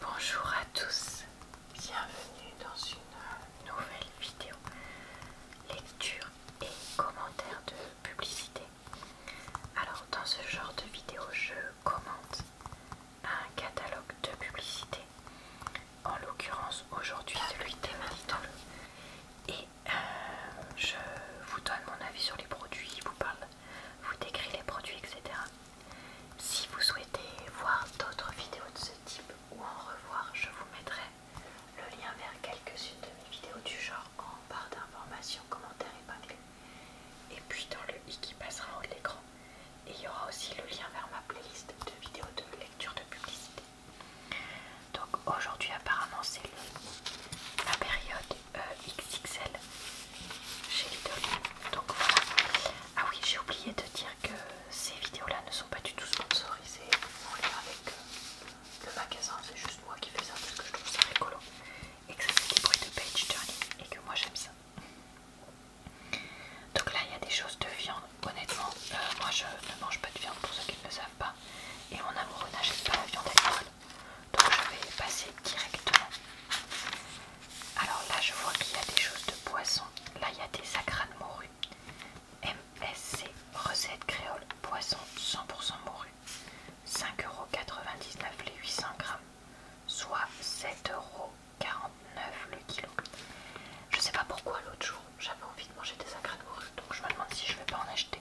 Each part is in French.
Bonjour à tous, bienvenue dans une nouvelle vidéo lecture et commentaire de publicité. Alors dans ce genre de vidéo je commente un catalogue de publicité, en l'occurrence aujourd'hui celui des le et euh, je vous donne mon avis sur les produits, vous parle, vous décris les produits etc. Si vous souhaitez voir d'autres vidéos de ce type ou en revoir, je vous mettrai le lien vers quelques-unes de mes vidéos du genre en barre d'informations, commentaires épinglés. Et puis dans le i qui passera en haut de l'écran, et il y aura aussi le lien vers ma playlist de vidéos de lecture de publicité. Donc aujourd'hui apparemment c'est la période euh, XXL chez Donc voilà. Ah oui, j'ai oublié de dire que ces vidéos-là ne sont pas du tout sponsorisées pouvez lien avec euh, le magasin. C'est juste moi qui fais ça parce que je trouve ça rigolo et que ça fait des bruits de page turning et que moi j'aime ça. Donc là, il y a des choses de viande. Honnêtement, euh, moi je ne mange pas de viande pour ceux qui ne le savent pas. Et mon amoureux n'achète pas la viande l'école, Donc je vais passer directement alors là, je vois qu'il y a des choses de poisson. Là, il y a des sacres de morue. MSC, recette créole, poisson 100% morue. 5,99€ les 800 grammes, soit 7,49€ le kilo. Je sais pas pourquoi l'autre jour j'avais envie de manger des sacrés de donc je me demande si je ne vais pas en acheter.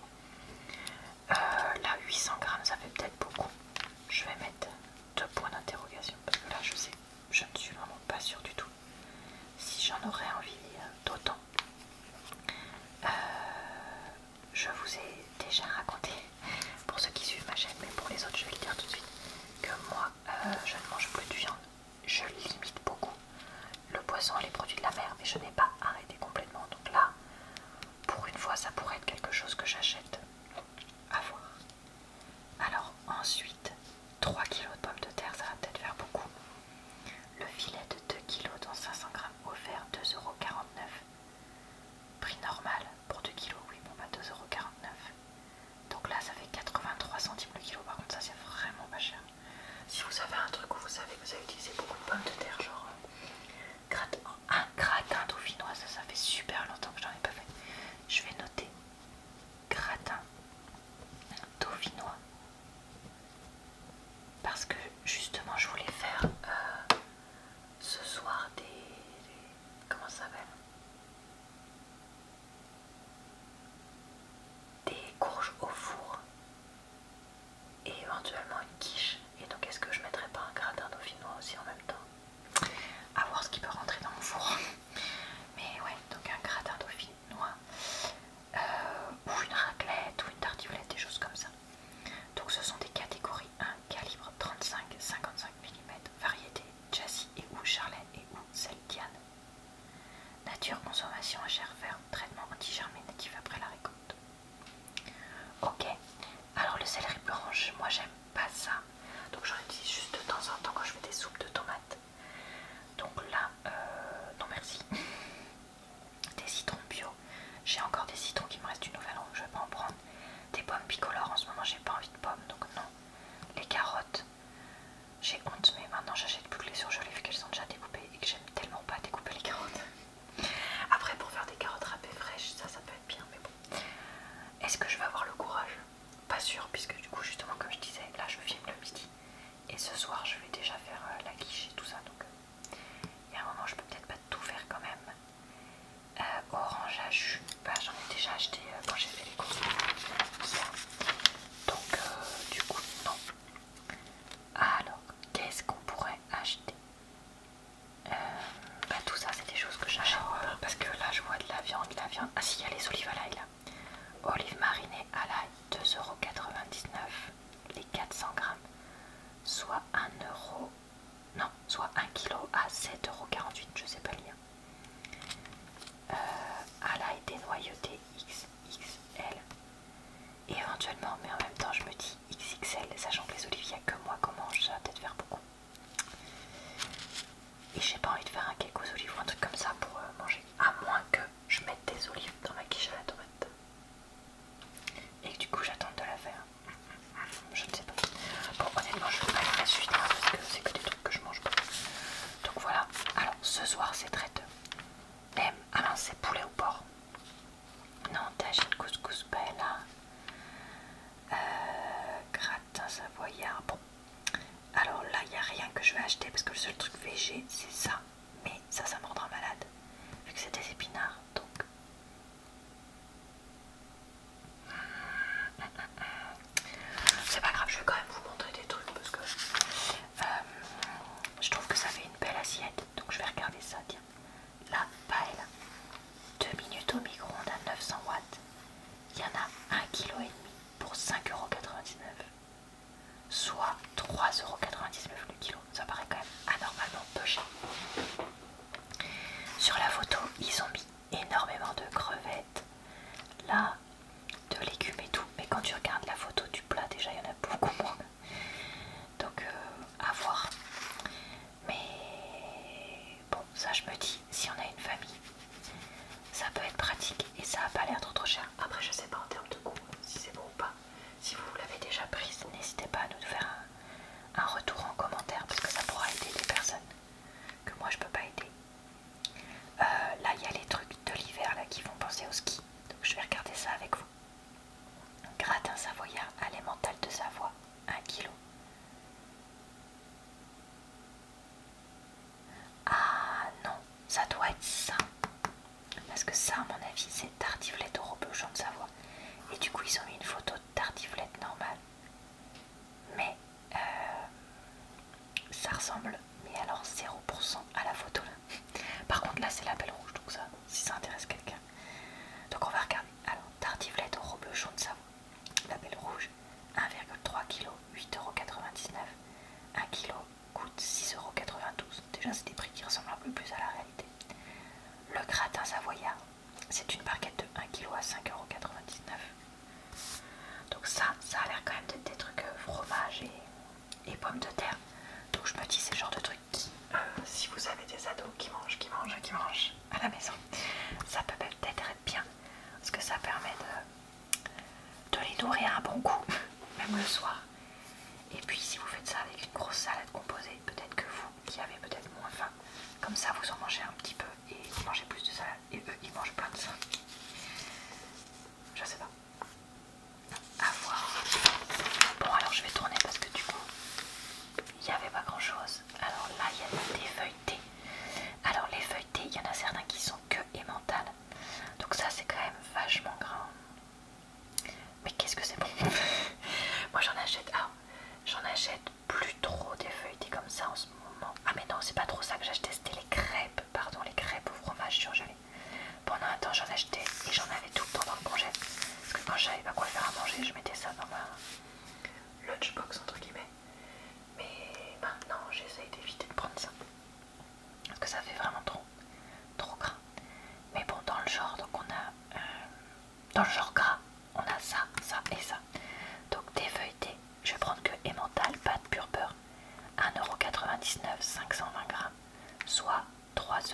Euh, là, 800 grammes, ça fait peut-être beaucoup. Je vais mettre deux points d'interrogation parce que là je sais, je ne suis vraiment pas sûre du tout si j'en aurais envie euh, d'autant. Euh, je vous ai déjà raconté, pour ceux qui suivent ma chaîne, mais pour les autres je vais le dire tout de suite, que moi euh, je ne mange plus de viande, je limite beaucoup le poisson et les produits de la mer, mais je n'ai pas arrêté complètement. Donc là, pour une fois, ça pourrait être quelque chose que j'achète à voir. Alors ensuite, 3 kg de pommes de terre, ça va peut-être faire beaucoup. Le filet de 2 kg dans 500 g offert 2,49€. Prix normal pour 2 kg, oui, bon bah 2,49€. Donc là, ça fait 83 centimes le kilo, par contre ça c'est vraiment pas cher. Si vous avez un truc où vous savez que vous avez utilisé beaucoup de pommes de terre, genre un euh, ah, gratin dauphinois, ça, ça fait super longtemps que j'en ai pas fait je vais noter gratin dauphinois parce que justement je voulais faire euh, ce soir des, comment ça s'appelle des courges au four et éventuellement une quiche et donc est-ce que je mettrais pas un gratin dauphinois aussi en même temps à voir ce qui peut rentrer dans mon four. Mais ouais, donc un gratin dauphinois, noir euh, ou une raclette, ou une tartiflette, des choses comme ça. Donc ce sont des catégories 1, calibre 35, 55 mm, variété Jassy et ou charlet et ou celtiane. Nature, consommation à chair ferme, traitement anti natif après la récolte. Ok, alors le céleri branche, moi j'aime pas ça. Donc j'en utilise juste de temps en temps quand je fais des soupes de tomates. Donc là, euh, non merci. Des citrons bio. J'ai encore des citrons qui me restent une nouvel an, je vais pas en prendre. Des pommes bicolores, en ce moment j'ai pas envie de pommes, donc non. Les carottes, j'ai honte, mais maintenant j'achète plus que les surgelées vu qu'elles sont déjà découpées et que j'aime tellement pas découper les carottes. Après, pour faire des carottes râpées fraîches, ça, ça peut être bien, mais bon. Est-ce que je vais avoir le courage pas sûr puisque du coup justement comme je disais là je filme le midi et ce soir je vais déjà faire euh, la guiche et tout ça donc euh, il y a un moment je peux peut-être pas tout faire quand même euh, orange à jus bah, j'en ai déjà acheté quand j'ai fait les courses donc du coup non alors qu'est-ce qu'on pourrait acheter bah, tout ça c'est des choses que j'achète ah parce que là je vois de la viande, de la viande. Ah si, il y a les olives à l'ail là. Olives marinées à l'ail, 2,99€ les 400 grammes, soit 1 euro, non, soit 1 kg à 7,48€, je sais pas le lien euh, à l'ail dénoyauté XXL. Et éventuellement, mais en même temps, je me dis XXL, sachant que les olives, il a que moi comment mange, ça peut-être faire beaucoup. Et j'ai pas envie de faire un cake aux olives ou un truc comme ça pour euh, manger. À moins que je mette des olives dans ma quiche à la tomate. Et du coup j'attends de la faire. Mm, mm, mm, je ne sais pas. Bon honnêtement je ne vais pas la suite parce que c'est que des trucs que je mange pas. Donc voilà. Alors ce soir c'est très traite. ah non c'est poulet au porc. Non, t'as une couscous bella. Hein. Euh, ça voyait. Bon, alors là, il n'y a rien que je vais acheter parce que le seul truc végé, c'est ça. Mais ça, ça me rendra malade vu que c'est des épinards. Donc, c'est pas grave, je vais quand même vous montrer des trucs parce que euh, je trouve que ça fait une belle assiette. Donc, je vais regarder ça. Tiens, la paille 2 minutes au micro-ondes à 900 watts il y en a 1,5 kg pour 5,99€, soit 3,99€ le kilo. Ça paraît quand même anormalement peu cher. Sur la photo, ils ont mis énormément de crevettes, là, de légumes et tout. Mais quand tu regardes la photo du plat, déjà il y en a beaucoup moins. Donc euh, à voir. Mais bon, ça je me dis, si on a une famille, ça peut être pratique et ça n'a pas l'air trop trop cher. Après, je ne sais pas en termes de goût, si c'est bon ou pas. Si vous l'avez déjà prise, n'hésitez pas à nous faire un, retour en commentaire parce que ça pourra aider des personnes que moi je ne peux pas aider. Euh, là, il y a les trucs de l'hiver là qui vont penser au ski, donc je vais regarder ça avec vous. Gratin savoyard à de Savoie, un kilo. Ah non, ça doit être ça. Parce que ça, à mon avis, c'est tartiflette au reblochon de Savoie. Et du coup, ils ont mis une photo de tartiflette normale. Mais euh, ça ressemble, mais alors 0% à la photo là. Par contre, là, c'est la belle rouge, donc ça, si ça intéresse quelqu'un. Donc on va regarder. Alors, tartiflette au reblochon de Savoie. La belle rouge 1,3 kg, 8,99€. 1 kg coûte 6,92€. Déjà, c'est des prix qui ressemblent un peu plus à la réalité. Le gratin savoyard, c'est une barquette de 1 kg à 5,99€. Donc, ça, ça a l'air quand même d'être des trucs euh, fromage et, pommes de terre. Donc, je me dis, c'est le genre de truc qui, euh, si vous avez des ados qui mangent, qui mangent, qui mangent, à la maison. Ça peut peut-être être bien parce que ça permet de, les nourrir un bon coup, même le soir. Et puis si vous faites ça avec une grosse salade composée, peut-être que vous qui avez peut-être moins faim, comme ça vous en mangez un petit peu et vous mangez plus de salade et eux ils mangent plein de ça. Je sais pas. À voir. Bon alors je vais tourner parce que du coup il n'y avait pas grand chose. Alors là il y a des feuilles alors les feuilletés, il y en a certains qui sont que mentales. Donc ça c'est quand même vachement grand. Mais qu'est-ce que c'est bon Moi j'en achète. Ah, j'en achète plus trop des feuilletés comme ça en ce moment. Ah mais non, c'est pas trop ça que j'achetais, c'était les crêpes. Pardon, les crêpes au fromage surgelé. Pendant un temps j'en achetais et j'en avais tout le temps dans le congé. Parce que quand j'avais pas quoi faire à manger, je mettais ça dans ma lunchbox entre guillemets mais maintenant j'essaye d'éviter de prendre ça parce que ça fait vraiment trop trop gras mais bon dans le genre donc on a euh, dans le genre gras on a ça ça et ça donc des feuilletés je vais prendre que emmental pâte pure beurre 1,99€ 520 grammes soit 3,83€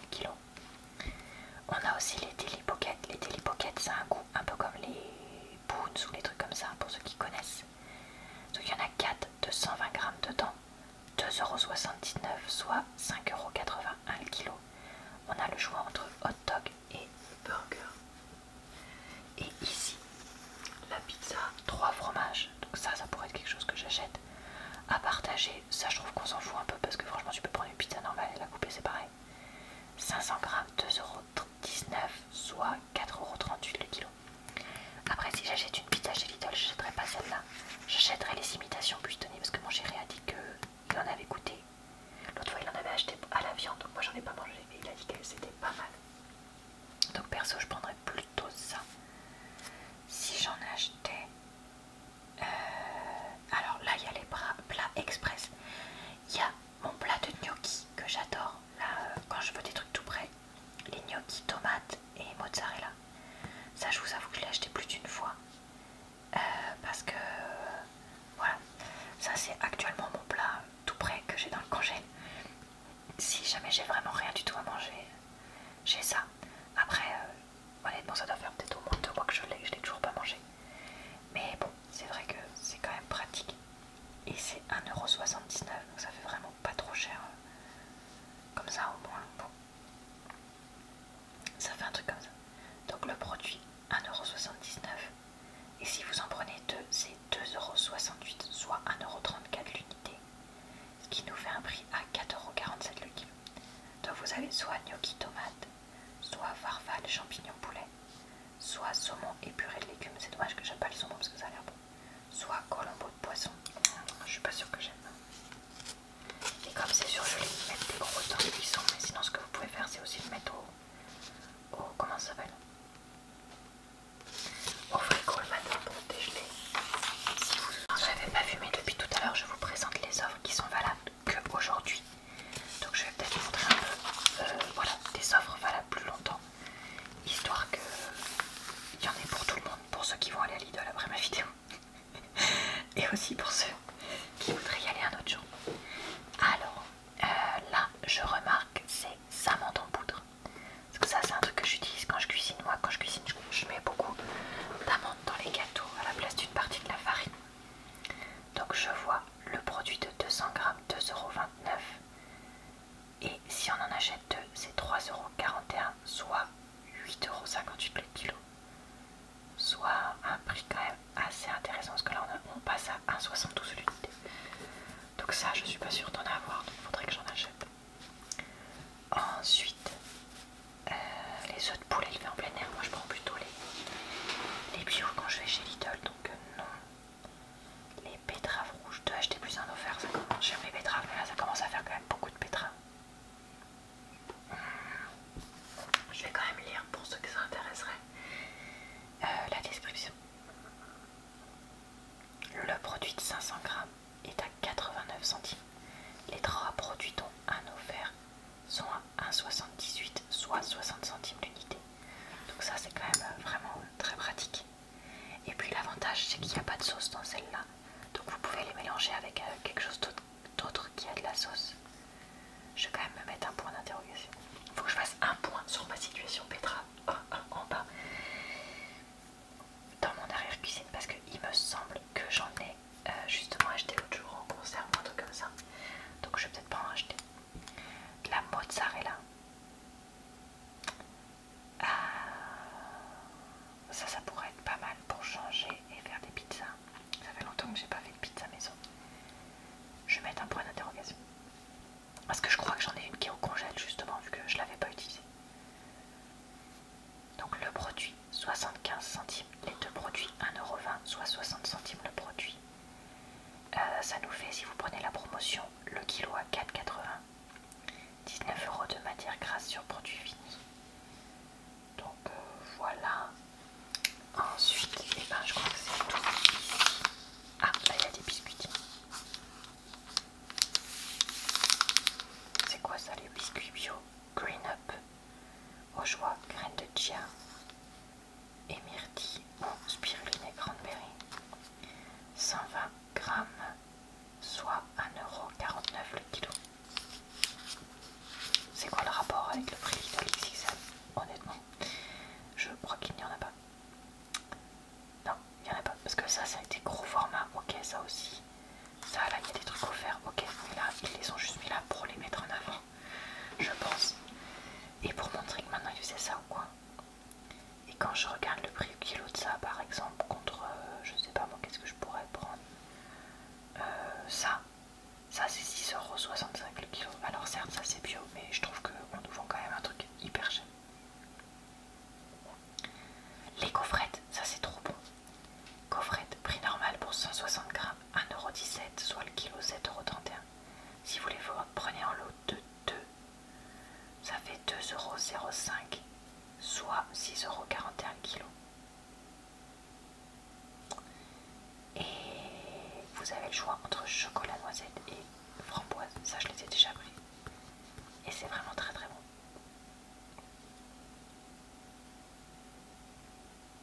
le kilo on a aussi les Daily les Daily ça c'est un goût un peu comme les boons ou les trucs comme ça, pour ceux qui connaissent. Donc il y en a 4 de 120 grammes dedans, 2,79€, soit 5,81€ le kilo. On a le choix entre hot dog et burger. Et ici, la pizza, 3 fromages. Donc ça, ça pourrait être quelque chose que j'achète. À partager, ça je trouve qu'on s'en fout un peu parce que franchement tu peux prendre une pizza normale et la couper, c'est pareil. 500 grammes, 2,30€ soit 4,38€ le kilo. Après, si j'achète une pizza chez Lidl, j'achèterai pas celle-là. J'achèterai les imitations Buitoni parce que mon chéri a dit qu'il en avait goûté. L'autre fois, il en avait acheté à la viande, donc moi j'en ai pas mangé, mais il a dit que c'était pas mal. Donc perso, je prendrais plutôt ça. Si j'en achetais. Euh, alors là, il y a les plats express. Il y a mon plat de gnocchi que j'adore là euh, quand je veux des trucs tout près les gnocchi tomates et mozzarella ça je vous avoue que je l'ai acheté plus d'une fois euh, parce que voilà ça c'est actuellement mon plat tout près que j'ai dans le congé si jamais j'ai vraiment rien du tout à manger j'ai ça après euh, honnêtement ça doit faire peut-être au moins deux mois que je l'ai je l'ai toujours pas mangé mais bon c'est vrai que c'est quand même pratique. Et c'est 1,79€, donc ça fait vraiment pas trop cher. Comme ça au moins. Bon. Ça fait un truc comme ça. Donc le produit 1,79€. Et si vous en prenez deux, c'est 2,68€, soit 1,34€ l'unité. Ce qui nous fait un prix à 4,47€ le kilo. Donc vous avez soit gnocchi tomate, soit farfalle champignons, poulet, soit saumon épuré de légumes. C'est dommage que j'aime pas le saumon parce que ça a l'air bon. Soit colombo de poisson. Mmh, je suis pas sûre que j'aime. Et comme c'est surgelé, vais mettre des gros temps de cuisson. Mais sinon, ce que vous pouvez faire, c'est aussi le mettre au. au comment ça s'appelle Au frigo le matin pour dégeler. Si vous n'avez pas fumé depuis tout à l'heure, je vous présente les offres qui sont valables que aujourd'hui donc je vais peut-être montrer un peu euh, voilà, des offres valables plus longtemps, histoire qu'il y en ait pour tout le monde, pour ceux qui vont aller à l'idole après ma vidéo, et aussi pour ceux qui voudraient y aller un autre jour. Alors euh, là, je remarque, c'est amandes en poudre. Parce que ça, c'est un truc que j'utilise quand je cuisine. Moi, quand je cuisine, je mets beaucoup d'amandes dans les gâteaux à la place d'une partie de la farine. Donc je vois le produit de 200 grammes 2,29€. Et si on en achète deux, c'est 3,41€, soit 8,58€ le kilo. Soit un prix quand même assez intéressant, parce que là on, passe à 1,72 l'unité. Donc ça, je suis pas sûre d'en avoir, donc il faudrait que j'en achète. Ensuite, euh, les œufs de poulet fait en plein air, moi je prends plutôt les, les bio quand je vais chez Lidl, donc euh, non les betteraves rouges. De acheter plus un offert, ça commence. mais là ça commence à faire quand même beaucoup de betteraves. Hmm. Je vais quand même lire pour ceux qui s'intéresseraient euh, la description. Le produit de 500 grammes est à 89 centimes. Les trois produits dont un offert sont à 1,78 soit 60 centimes d'unité Donc ça c'est quand même euh, vraiment très pratique. Et puis l'avantage c'est qu'il n'y a pas de sauce dans celle-là. Donc vous pouvez les mélanger avec euh, quelque chose d'autre qui a de la sauce. Je vais quand même me mettre un point d'interrogation. Il faut que je fasse un point sur ma situation Petra ah, ah, en, bas dans mon arrière-cuisine parce il me semble que j'en ai euh, justement acheté l'autre jour en conserve ou un truc comme ça. Donc je vais peut-être pas en acheter de la mozzarella. Ah, ça, ça pourrait être pas mal pour changer et faire des pizzas. Ça fait longtemps que j'ai pas fait de pizza maison. Je vais mettre un point d'interrogation. Parce que je crois que j'en ai une qui est au congèle justement vu que je l'avais pas utilisée. Donc le produit 75 centimes, les deux produits 1,20€, soit 60 centimes le produit euh, ça nous fait, si vous prenez la promotion, le kilo à 4,80. 19 euros de matière grasse sur produit fini. Donc euh, voilà. Ensuite, les eh ben, je crois que c'est tout Ah, là il y a des biscuits. C'est quoi ça, les biscuits bio Green Up Au choix, graines de chia, et ou spiruline et cranberry. 120 grammes, soit 1,49€ le kilo. C'est quoi le rapport avec le prix de XXL Honnêtement, je crois qu'il n'y en a pas. Non, il n'y en a pas. Parce que ça, ça a été gros format. Ok, ça aussi. Ça, là, il y a des trucs offerts. Ok, mais là, ils les ont juste mis là pour les mettre en avant je pense. Et pour montrer que maintenant il faisait ça ou quoi. Et quand je regarde le prix au kilo de ça, par exemple, contre, euh, je sais pas moi, qu'est-ce que je pourrais prendre euh, Ça, ça c'est 6,65€ le kilo. Alors certes, ça c'est bio, mais je trouve qu'on nous vend quand même un truc hyper cher. Les coffrettes, ça c'est trop bon. coffrettes prix normal pour 160 grammes, 1,17€, soit le kilo 7,31€. Si vous les prenez en lot de 2, ça fait 2,05€, soit 6,41€ kg. Et vous avez le choix entre chocolat noisette et framboise. Ça, je les ai déjà pris. Et c'est vraiment très très bon.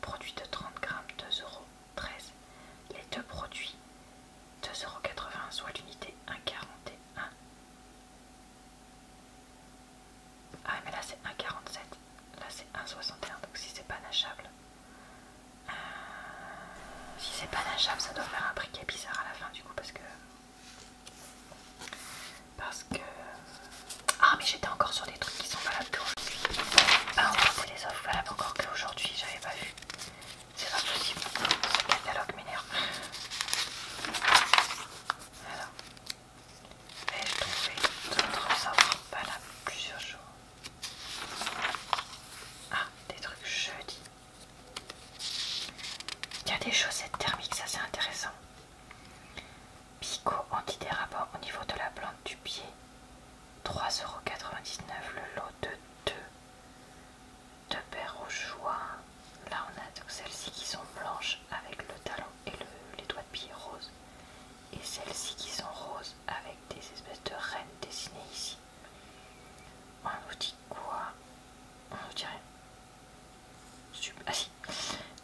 Produit de 30 grammes, 2,13 euros. Les deux produits, 2,80 euros, soit l'unité 1,41. Ah, mais là c'est 1,47. Là c'est 1,61. Donc si c'est pas nachable. Euh, si c'est pas nachable, ça doit faire un briquet bizarre à la fin du coup parce que. Parce que. Ah, mais j'étais encore sur des trucs qui sont valables qu'aujourd'hui. Ah, on va trouver des offres valables encore que aujourd'hui j'avais pas vu. C'est pas possible. Ce catalogue m'énerve. Voilà. Vais-je trouver d'autres offres valables plusieurs jours Ah, des trucs jeudi. Il y a des chaussettes thermiques, ça c'est intéressant. Picot antidérapant au niveau de la plante du pied. 3,99€ le lot de 2. de paires au choix. Là on a donc celles-ci qui sont blanches avec le talon et les doigts de pied roses. Et celles-ci qui sont roses avec des espèces de reines dessinées ici. On nous dit quoi On nous dirait. Ah si,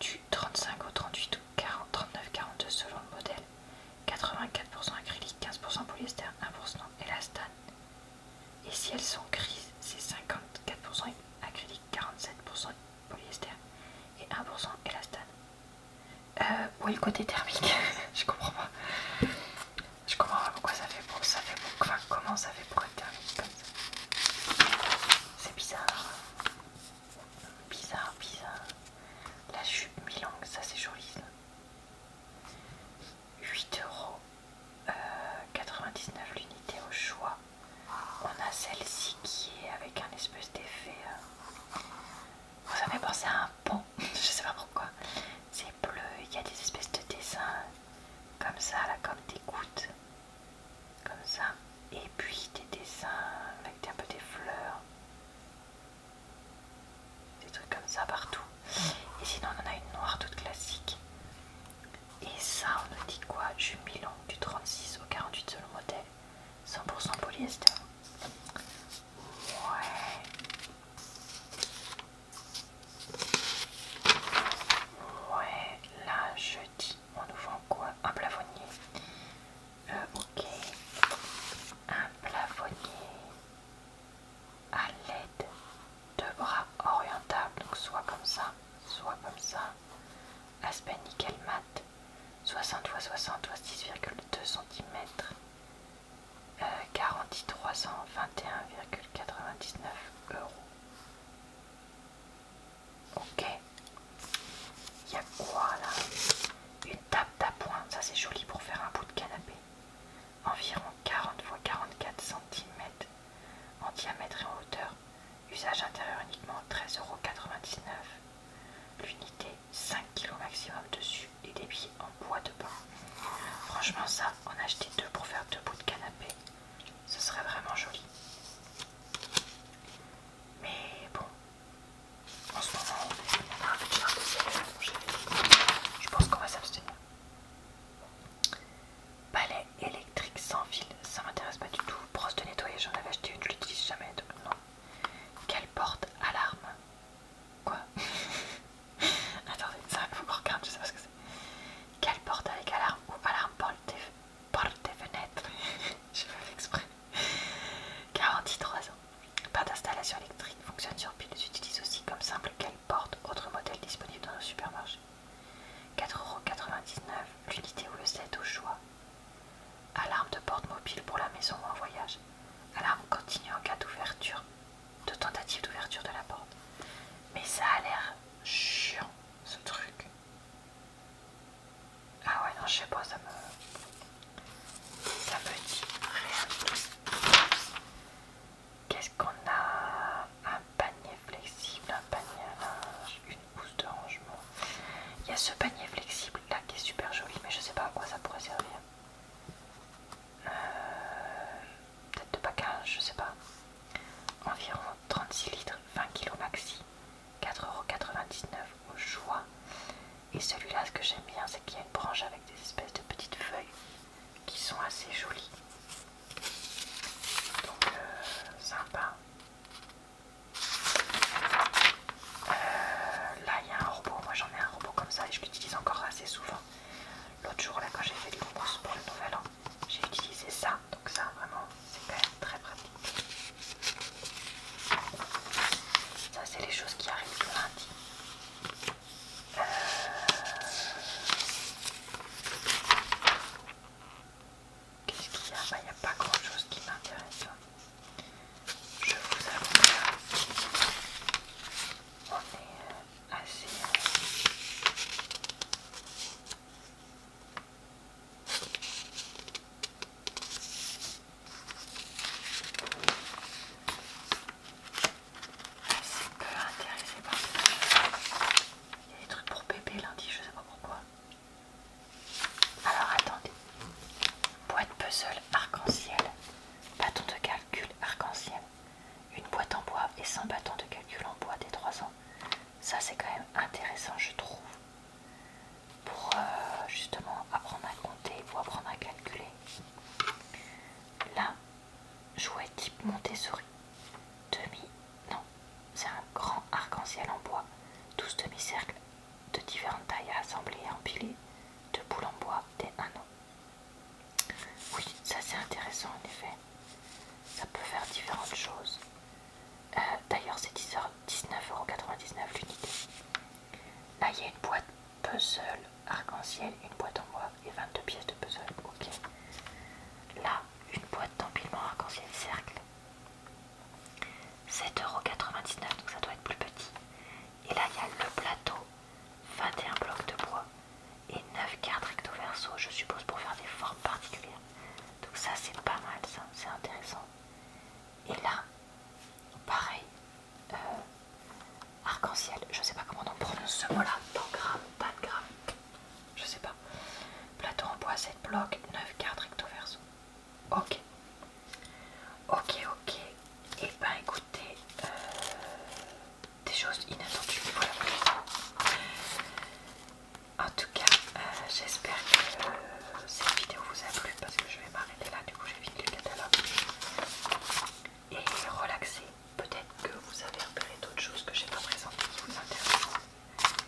du 35 au 38 ou 39, 42 selon le modèle. 84% acrylique, 15% polyester, 1% élastane. Et si elles sont grises, c'est 54% acrylique, 47% polyester et 1% élastane. Euh, le côté thermique Je comprends pas. Je comprends pas pourquoi ça fait beau, ça comment ça fait pour être thermique comme ça C'est bizarre. Bizarre, bizarre. La jupe mi-langue, ça c'est joli. 8,99€ euh, l'unité au choix. On a celle-ci qui est avec un espèce d'effet. Vous euh, avez pensé à un pont, je sais pas pourquoi. C'est bleu, il y a des espèces de dessins comme ça, là, comme des gouttes comme ça, et puis des dessins avec un peu des fleurs, des trucs comme ça partout. Et sinon, on en a une noire toute classique. Et ça, on nous dit quoi milan du 36 au 48 selon modèle, 100% polyester. Ouais. Ouais, là, dis, on nous vend quoi Un plafonnier. Euh, ok. Un plafonnier à l'aide de bras orientables, donc soit comme ça, soit comme ça. Aspect nickel mat, 60 x 60 x 6,2 cm. 4321,99 garantie 321,99 euros. Ok. Il y a quoi là Une table d'appoint, ça c'est joli pour faire un bout de canapé. Environ 40 x 44 cm en diamètre et en hauteur. Usage intérieur uniquement 13,99€. L'unité 5 kg maximum dessus et des pieds en bois de bain. Franchement ça, en acheté deux pour faire deux bouts de canapé, ce serait vraiment joli. Mais bon, en ce moment, il a en de un des séries Je pense qu'on va s'abstenir. Palais électrique sans fil, ça m'intéresse pas du tout. Brosse de nettoyage, j'en avais acheté une, je l'utilise jamais, donc non. Quelle porte alarme Quoi Attendez, ça faut qu'on regarde, je sais pas ce que c'est. Quelle porte avec alarme ou alarme porte porte des fenêtres, je fais exprès. 43 ans, pas d'installation électrique, fonctionne sur pile, Utilise aussi comme simple qu'elle porte, autre modèle disponible dans nos supermarchés. 4,99€, l'unité ou le set au choix. Alarme de porte mobile pour la maison ou en voyage. Alarme continue en cas d'ouverture, de tentative d'ouverture de la porte. Mais ça a l'air chiant ce truc. Ah ouais, non, je sais pas, ça me. Ça me dit rien. Qu'est-ce qu'on a Un panier flexible, un panier une housse de rangement. Il y a ce panier flexible là qui est super joli, mais je sais pas à quoi ça pourrait servir. Euh, peut-être de package, je sais pas. Environ 36 litres, 20 kg maxi. 4,99€ au choix. Et celui-là, ce que j'aime bien, c'est qu'il y a une branche avec des espèces de petites feuilles qui sont assez jolies. Donc, euh, sympa. Euh, là, il y a un robot. Moi, j'en ai un robot comme ça et je l'utilise encore assez souvent. L'autre jour, là, quand j'ai fait les courses pour le nouvel an, j'ai utilisé ça. Donc, ça, vraiment, c'est quand même très pratique. Ça, c'est les choses qui arrivent le lundi. Euh, qu'est-ce qu'il y a bah, Il n'y a pas grand chose qui m'intéresse. Je vous avoue, on est euh, assez. Euh, c'est peu intéressé Il y a des trucs pour bébé lundi, je sais pas pourquoi. Alors attendez. Boîte puzzle arc-en-ciel. Bâton de calcul arc-en-ciel. Une boîte en bois et 100 bâtons de calcul en bois des 3 ans. Ça c'est quand même intéressant je trouve pour euh, justement apprendre à compter ou apprendre à calculer. Là, jouet type Montessori, demi, non, c'est un grand arc-en-ciel en bois, 12 demi-cercles de différentes tailles à assembler et empiler. de boules en bois des anneaux. Oui, ça c'est intéressant en effet. Ça peut faire différentes choses. D'ailleurs, c'est 19,99€ l'unité. Là, il y a une boîte puzzle arc-en-ciel, une boîte en bois et 22 pièces de puzzle. Ok. Là, une boîte d'empilement arc-en-ciel cercle. 7,99€, donc ça doit être plus petit. Et là, il y a le plateau, 21 blocs de bois et 9 cartes recto verso, je suppose pour faire des formes particulières. Donc ça, c'est pas mal, ça, c'est intéressant. Et là, pareil, euh, arc-en-ciel, je ne sais pas comment on prononce ce mot-là, Pas pas de grave. je sais pas. Plateau en bois, 7 blocs, 9 cartes recto verso. Ok. Ok, ok. Et eh bien écoutez, euh, des choses inattendues. Voilà. En tout cas, euh, j'espère que cette vidéo vous a plu parce que je vais m'arrêter là, du coup j'ai fini le catalogue. Et relaxer, peut-être que vous avez repéré d'autres choses que j'ai pas présentées qui vous intéressent.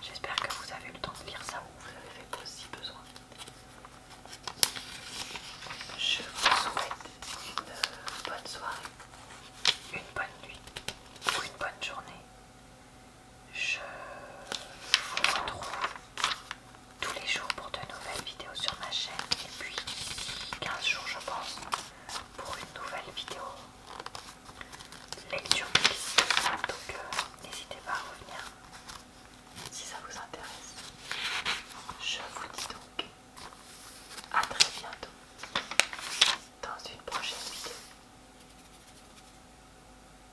J'espère que vous avez eu le temps de lire ça ou vous avez fait aussi besoin. Je vous souhaite une bonne soirée, une bonne nuit ou une bonne journée je vous retrouve tous les jours pour de nouvelles vidéos sur ma chaîne et puis 15 jours je pense pour une nouvelle vidéo lecture mix donc euh, n'hésitez pas à revenir si ça vous intéresse je vous dis donc à très bientôt dans une prochaine vidéo